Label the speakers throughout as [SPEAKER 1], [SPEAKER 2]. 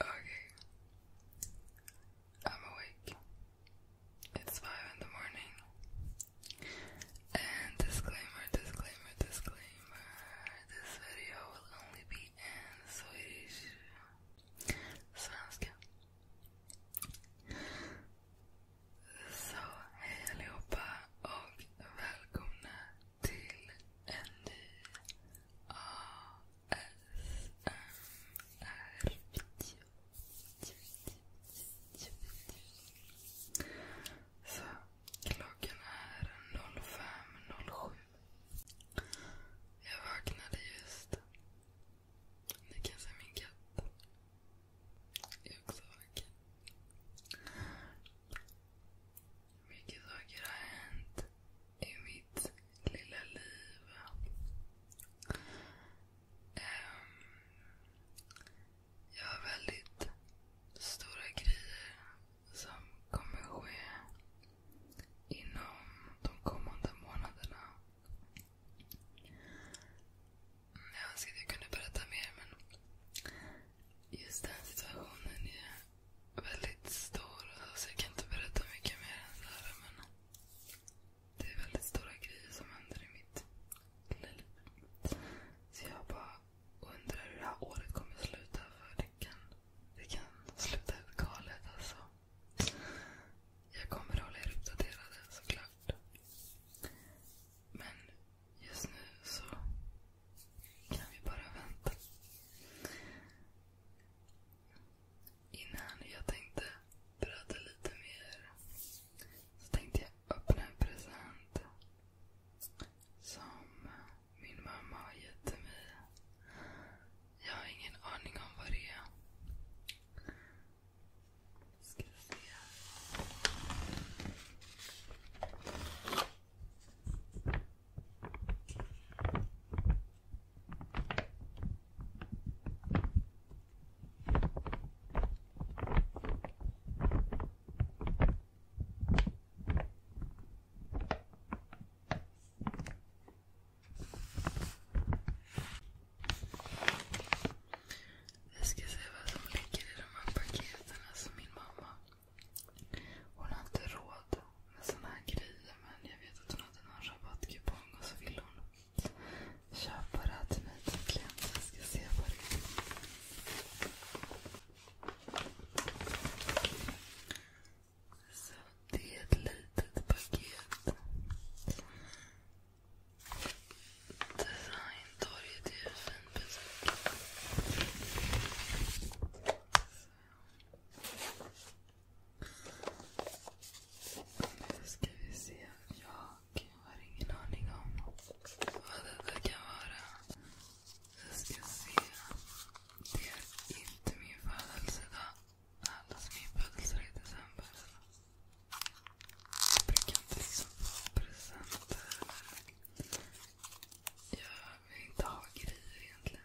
[SPEAKER 1] Okay. I'm awake. It's five in the morning. And disclaimer, disclaimer, disclaimer. This video will only be in Swedish. Svenska. Så hej allihopa och välkomna till en ny ASMR-video. Så klockan är 05.07. Jag vaknade just. Ni kan se min katt. Jag är också vaken. Mycket saker har hänt i mitt lilla liv. Ehm, jag har väldigt stora grejer som kommer ske inom de kommande månaderna. Mm, jag önskar att jag kunde berätta mer men just den situationen är väldigt stor så jag kan inte berätta mycket mer än så här. Men det är väldigt stora grejer som händer i mitt lilla liv. Så jag bara undrar hur det här året kommer att sluta. För det kan, det kan sluta helt galet alltså. Jag kommer att hålla er uppdaterade såklart. Men just nu så kan vi bara vänta. Innan jag tänkte berätta lite mer. Så tänkte jag öppna en present som min mamma har gett till mig. Jag har ingen aning om vad det är. Ska se. Vi ska se vad som ligger i de här paketen. Alltså min mamma. Hon har inte råd med såna här grejer men jag vet att hon hade någon rabattkupong och så ville hon Köp bara till mig tycker jag. Jag ska se vad det Så det är ett litet paket. Designtorget är ju en fin Nu ska vi se. Ja och jag har ingen aning om vad detta kan vara. Vi ska se. Det är inte min födelsedag. Allas min födelsedag är i december. Jag brukar inte liksom få presenter. Jag vill inte ha grejer egentligen.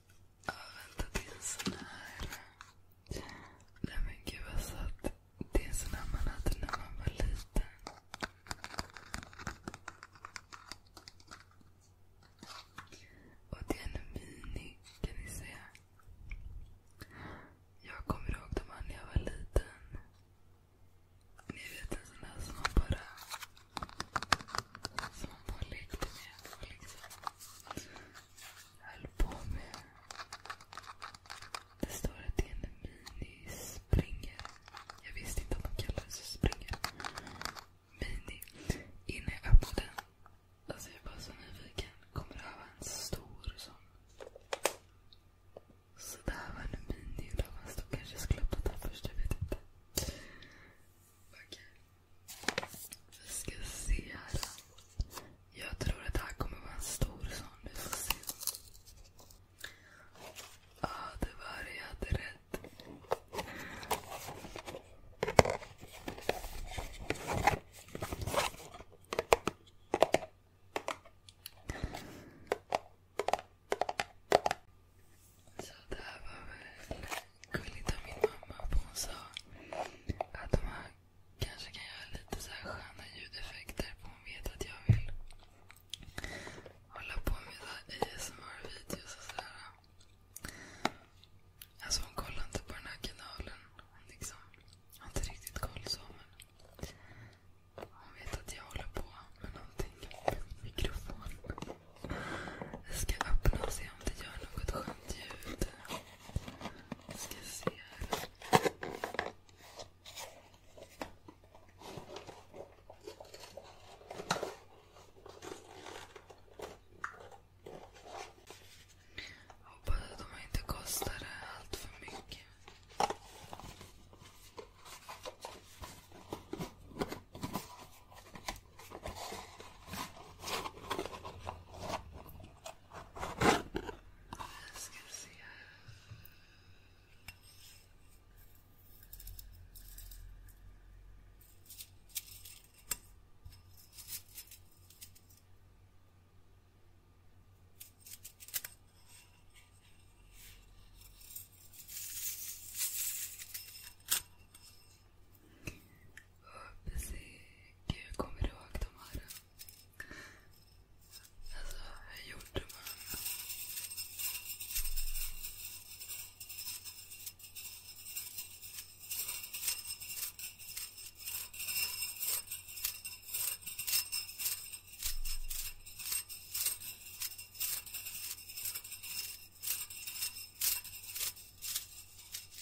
[SPEAKER 1] Ja, vänta, det är en sån här. Nej men gud vad satt. Det är en sån här man hade när man var liten. Och det är en mini, kan ni se. Jag kommer ihåg dem när jag var liten. Ni vet en sån där som man bara som man lekte med och liksom höll på med. Det står att det är en mini Jag visste inte att de kallades springer. Mini. Innan jag öppnade den. Alltså jag är bara så nyfiken. Kommer det här vara en stor sån? Så det här mini. Fast då kanske skulle öppna den först. Jag vet inte. Vi ska se här. Jag tror att det här kommer vara en stor sån. Ja, det var det. Jag hade rätt. Så det var väl gulligt av min mamma. För hon sa att de här kanske kan göra lite så sköna ljudeffekter. För hon vet att jag vill hålla på med ASMR-videos och sådär. Alltså hon kollar inte på den här kanalen. Hon liksom har inte riktigt koll så. Men hon vet att jag håller på med någonting. Mikrofon. Jag ska öppna och se om det gör något skönt ljud. Jag ska se här. Hoppas att de inte kostar allt för mycket. Ska vi se. Hoppas Gud kommer ihåg de här. Alltså, hur gjorde man?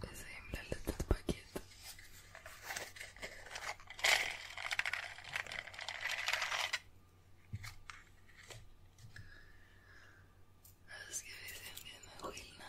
[SPEAKER 1] Det är så himla litet paket. Nu ska vi se om det är någon skillnad.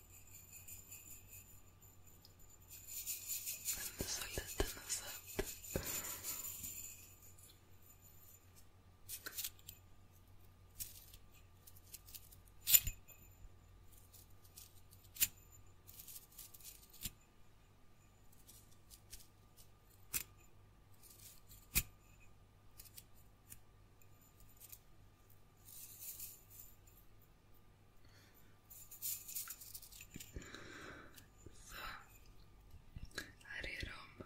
[SPEAKER 1] Den är så liten och söt. Så. Här är de.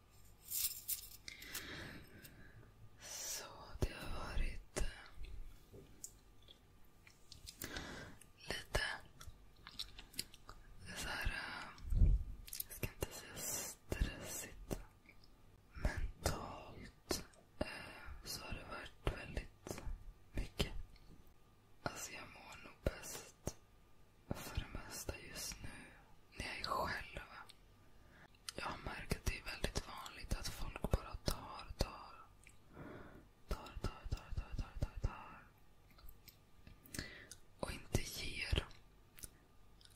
[SPEAKER 1] Så det har varit eh, lite så här, eh, jag ska inte säga stressigt. Mentalt eh, så har det varit väldigt mycket. Alltså jag mår nog bäst för det mesta just nu när jag är själv. Jag har märkt att det är väldigt vanligt att folk bara tar, tar. Tar, tar, tar, tar, tar, tar, tar. Och inte ger.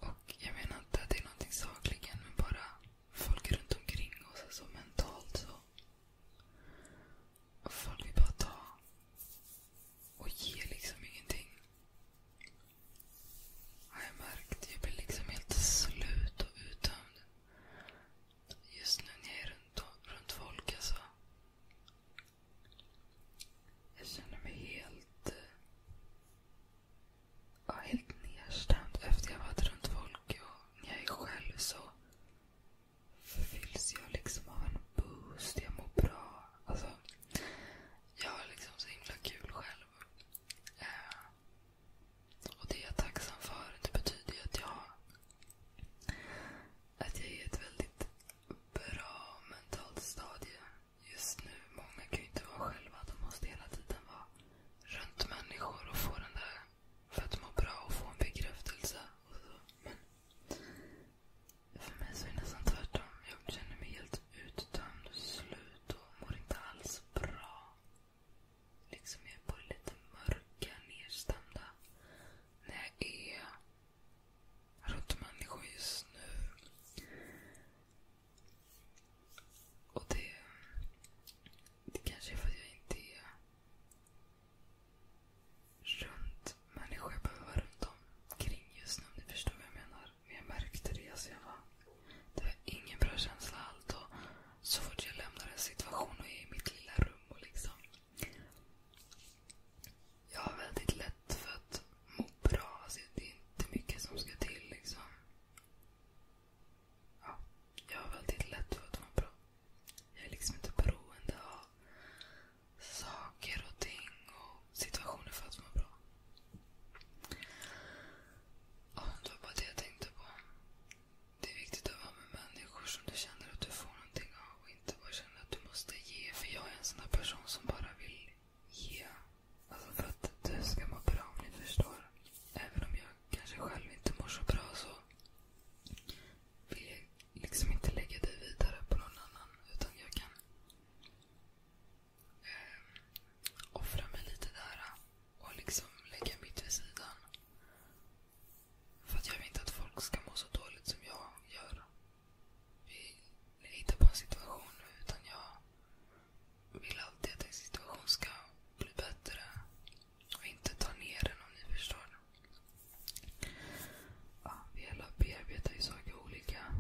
[SPEAKER 1] Och jag menar inte att det är någonting sakligen, men bara folk runt omkring oss, alltså mentalt så. Och folk vill bara ta och ge liksom ingenting. Jag märkte, jag blir liksom helt slut och uttömd. Just nu när jag är runt, folk alltså. Jag känner mig helt... Eh, ja, helt nedstämd efter jag varit runt folk. Och när jag är själv så fylls jag liksom av en boost. Jag mår bra. Alltså, jag har liksom så himla kul själv. Eh, och det är jag tacksam för. Det betyder ju att jag, att jag är i ett väldigt bra mentalt stadie just nu. Många kan ju inte vara själva. De måste hela tiden vara runt människor och få den där för att må bra och få en bekräftelse. så. Men för mig så är det nästan tvärtom. Jag känner mig helt uttömd och slut och mår inte alls bra. Liksom jag är både lite mörka, nedstämda. När jag är runt människor just nu. Och det, det kanske är för att jag inte är runt människor jag behöver vara runt omkring just nu om ni förstår vad jag menar men jag märkte det alltså jag var, Det var ingen bra känsla allt. Och så fort jag lämnar en situation och är i mitt lilla rum och liksom. Jag har väldigt lätt för att må bra. Alltså det är inte mycket som ska till liksom. Ja, jag har väldigt lätt för att må bra. Jag är liksom inte beroende av saker och ting och situationer för att må bra. Ja, det var bara det jag tänkte på. Det är viktigt att vara med människor som du känner att du får någonting av och inte bara känner att du måste ge. För jag är en sån där person som bara vill ge. Alltså för att du ska må bra om ni förstår. Även om jag kanske själv inte mår så bra så vill jag liksom inte lägga dig vidare på någon annan. Utan jag kan Ehm, offra mig lite där äh, och liksom lägga mitt vid sidan. För att jag vill inte att folk ska må så dåligt som jag gör. Vi hittar på en situation nu utan jag vill alltid att en situation ska bli bättre. Och inte ta ner den om ni förstår. Ja, vi alla bearbetar ju saker olika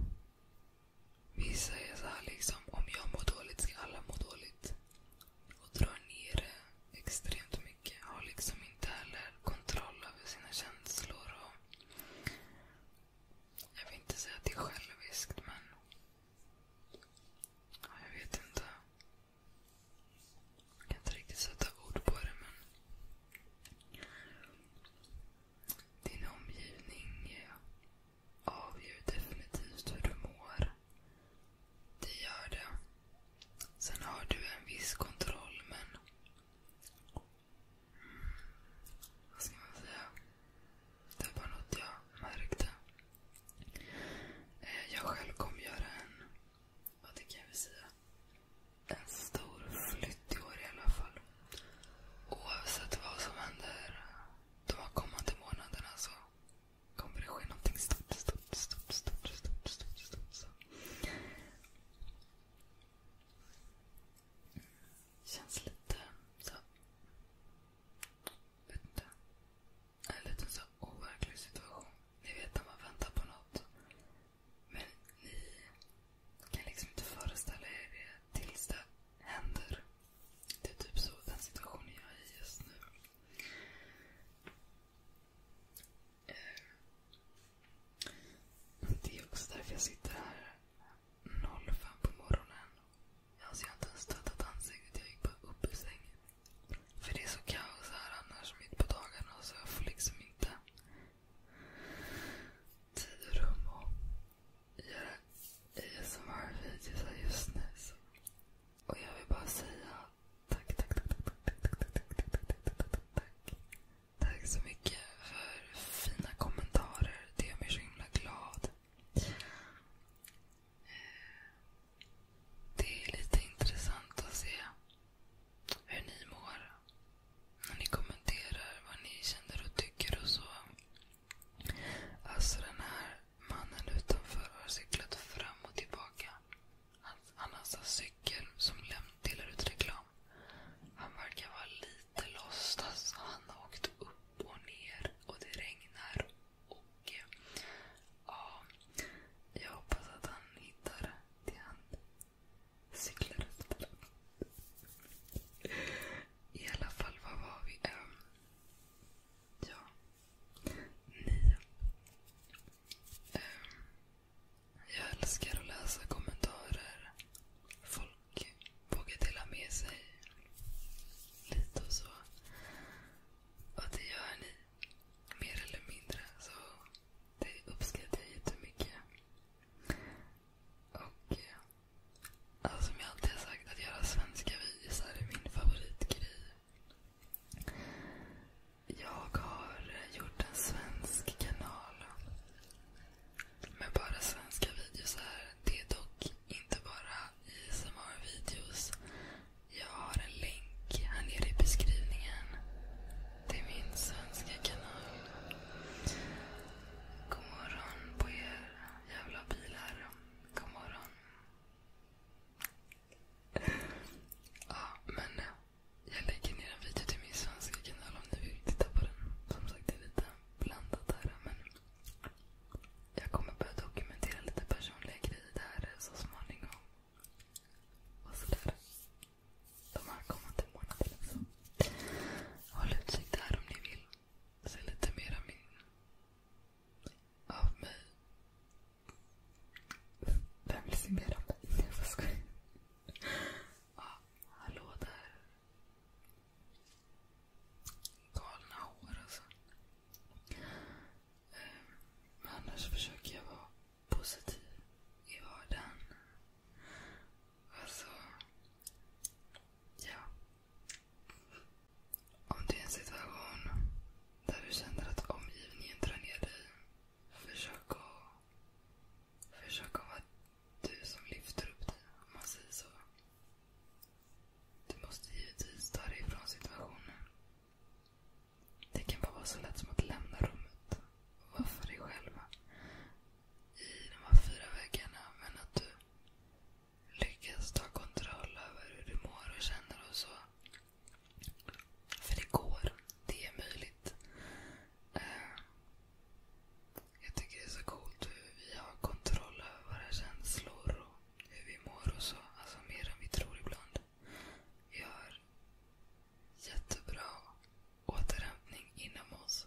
[SPEAKER 1] vissa är så här liksom, om jag mår dåligt ska alla må dåligt. Och drar ner det extremt mycket. Har liksom inte heller kontroll över sina känslor. Och jag vill inte säga att det är själviskt, men... Ja, jag vet inte. Jag kan inte riktigt sätta ord på det, men... Din omgivning avgör definitivt hur du mår. Det gör det. Sen har du en viss kontroll, men... Vad ska man säga? Det var något jag märkte. Eh, jag själv kommer göra en... Vad det kan vi säga? En stor flytt i år i alla fall. Oavsett vad som händer de här kommande månaderna så kommer det ske någonting stort, stort, stort, stort, stort, stort, stort. stort. Känns lite så... Vet inte. En liten så overklig situation. Ni vet när man väntar på något. Men ni kan liksom inte föreställa er det tills det händer. Det är typ så den situationen jag är i just nu. Eh, det är också därför jag sitter här 05 på morgonen. Alltså jag har inte ens tvättat ansiktet. Jag gick bara upp ur sängen. För det är så kaos här annars mitt på dagarna så jag får liksom inte tid och rum och göra ASMR-videos här just nu. Så. Och jag vill bara säga tack, tack, tack, tack, tack, tack, tack, tack, tack, tack, tack, tack, tack. Tack så mycket för fina kommentarer. Det gör mig så himla glad. Det är lite intressant att se hur ni mår. När ni kommenterar vad ni känner och tycker och så. Alltså den här mannen utanför har cyklat fram och tillbaka. Han, han har alltså cykel som delar ut reklam. Han verkar vara lite lost. Alltså, han har åkt upp och ner och det regnar. Och eh, ja, jag hoppas att han hittar det han cyklar efter. I alla fall, vad var vi? Um, Ja. Nio. Um, jag älskar att läsa kommentarer. Folk vågar dela med sig lite och så. Och det gör ni. Mer eller mindre. Så det uppskattar jag jättemycket. Och eh, Alltså som jag alltid har sagt, att göra svenska videos är min favoritgrej. Jag har gjort en svensk kanal med bara svenska videos här. Det är dock inte bara ASMR-videos. Jag har en länk här nere i beskrivningen till min svenska kanal. God morgon på er jävla bilar. God morgon. Ja, men eh, jag lägger ner en video till min svenska kanal om ni vill titta på den. Som sagt, det är lite blandat här. Men jag kommer börja dokumentera lite personliga grejer där eh, så småningom. Och sådär. De här kommande månaderna. Så. Håll utkik där om ni vill. Så lite mera min... Av mig. Vem vill se mer av mig? Nej, jag skojar. Ja, hallå där. Galna hår alltså. Men ehm, annars försöker jag vara positiv i vardagen. Alltså, ja. Om det är en situation där du känner att omgivningen drar ner dig. Försök att, försök att vara du som lyfter upp dig, om man säger så. Du måste givetvis ta dig ifrån situationen. Det kan bara vara så lätt som att lämna rummet och vara för dig själv i de här fyra väggarna. Men att du lyckas ta kontroll över hur du mår och känner och så. För det går. Det är möjligt. Uh, jag tycker det är så coolt hur vi har kontroll över våra känslor och hur vi mår och så. Alltså mer än vi tror ibland. Vi har jättebra återhämtning inom oss.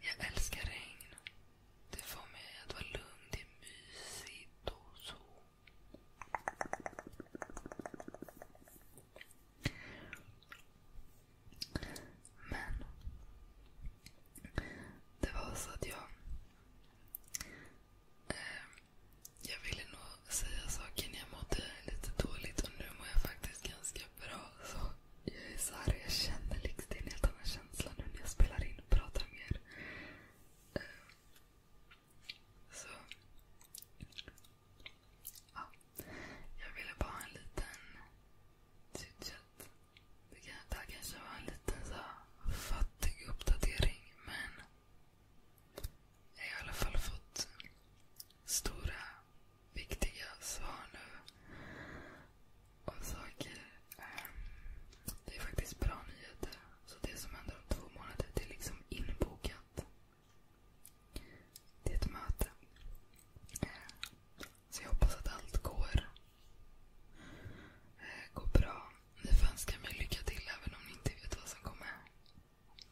[SPEAKER 1] Jag älskar regn. Det får mig att vara lugn. Det är mysigt och så. Men. Det var så att jag... Eh, jag ville nog säga saker när jag mådde lite dåligt och nu mår jag faktiskt ganska bra. så jag är så här, jag känner liksom, det är en helt annan känsla nu när jag spelar in och pratar med er. Uh, så. Ja. Jag ville bara ha en liten chitchat. Det, kan, det här kanske var en liten så fattig uppdatering men jag har i alla fall fått stora viktiga svar nu. Och saker. Ehm, det är faktiskt bra nyheter. Så det som händer om två månader, det är liksom inbokat. Det är ett möte. Så jag hoppas att allt går, eh, går bra. Ni får önska mig lycka till även om ni inte vet vad som kommer.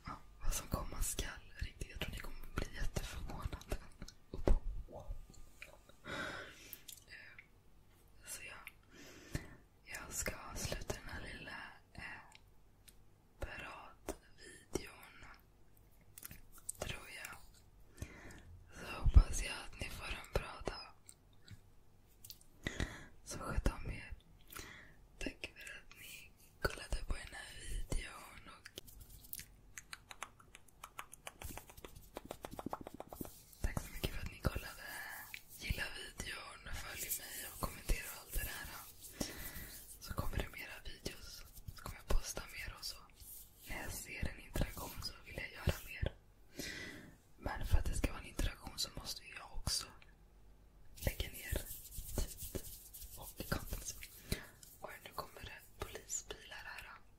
[SPEAKER 1] Ja, vad som komma skall. Riktigt. Jag tror ni kommer bli jätteförvånade. Och bara, så ja. Jag ska avsluta den här lilla eh, paradvideon. Tror jag. Så hoppas jag att ni får en bra dag. Så sköt om er. Tack för att ni kollade på den här videon. Och Tack så mycket för att ni kollade. Gilla videon, följ mig och kommentera och allt det där. Så kommer det mera videos. Så kommer jag posta mer och så. När jag ser en interaktion så vill jag göra mer. Men för att det ska vara en interaktion så måste jag också lägga ner tid och kompis. Och nu kommer det polisbilar här.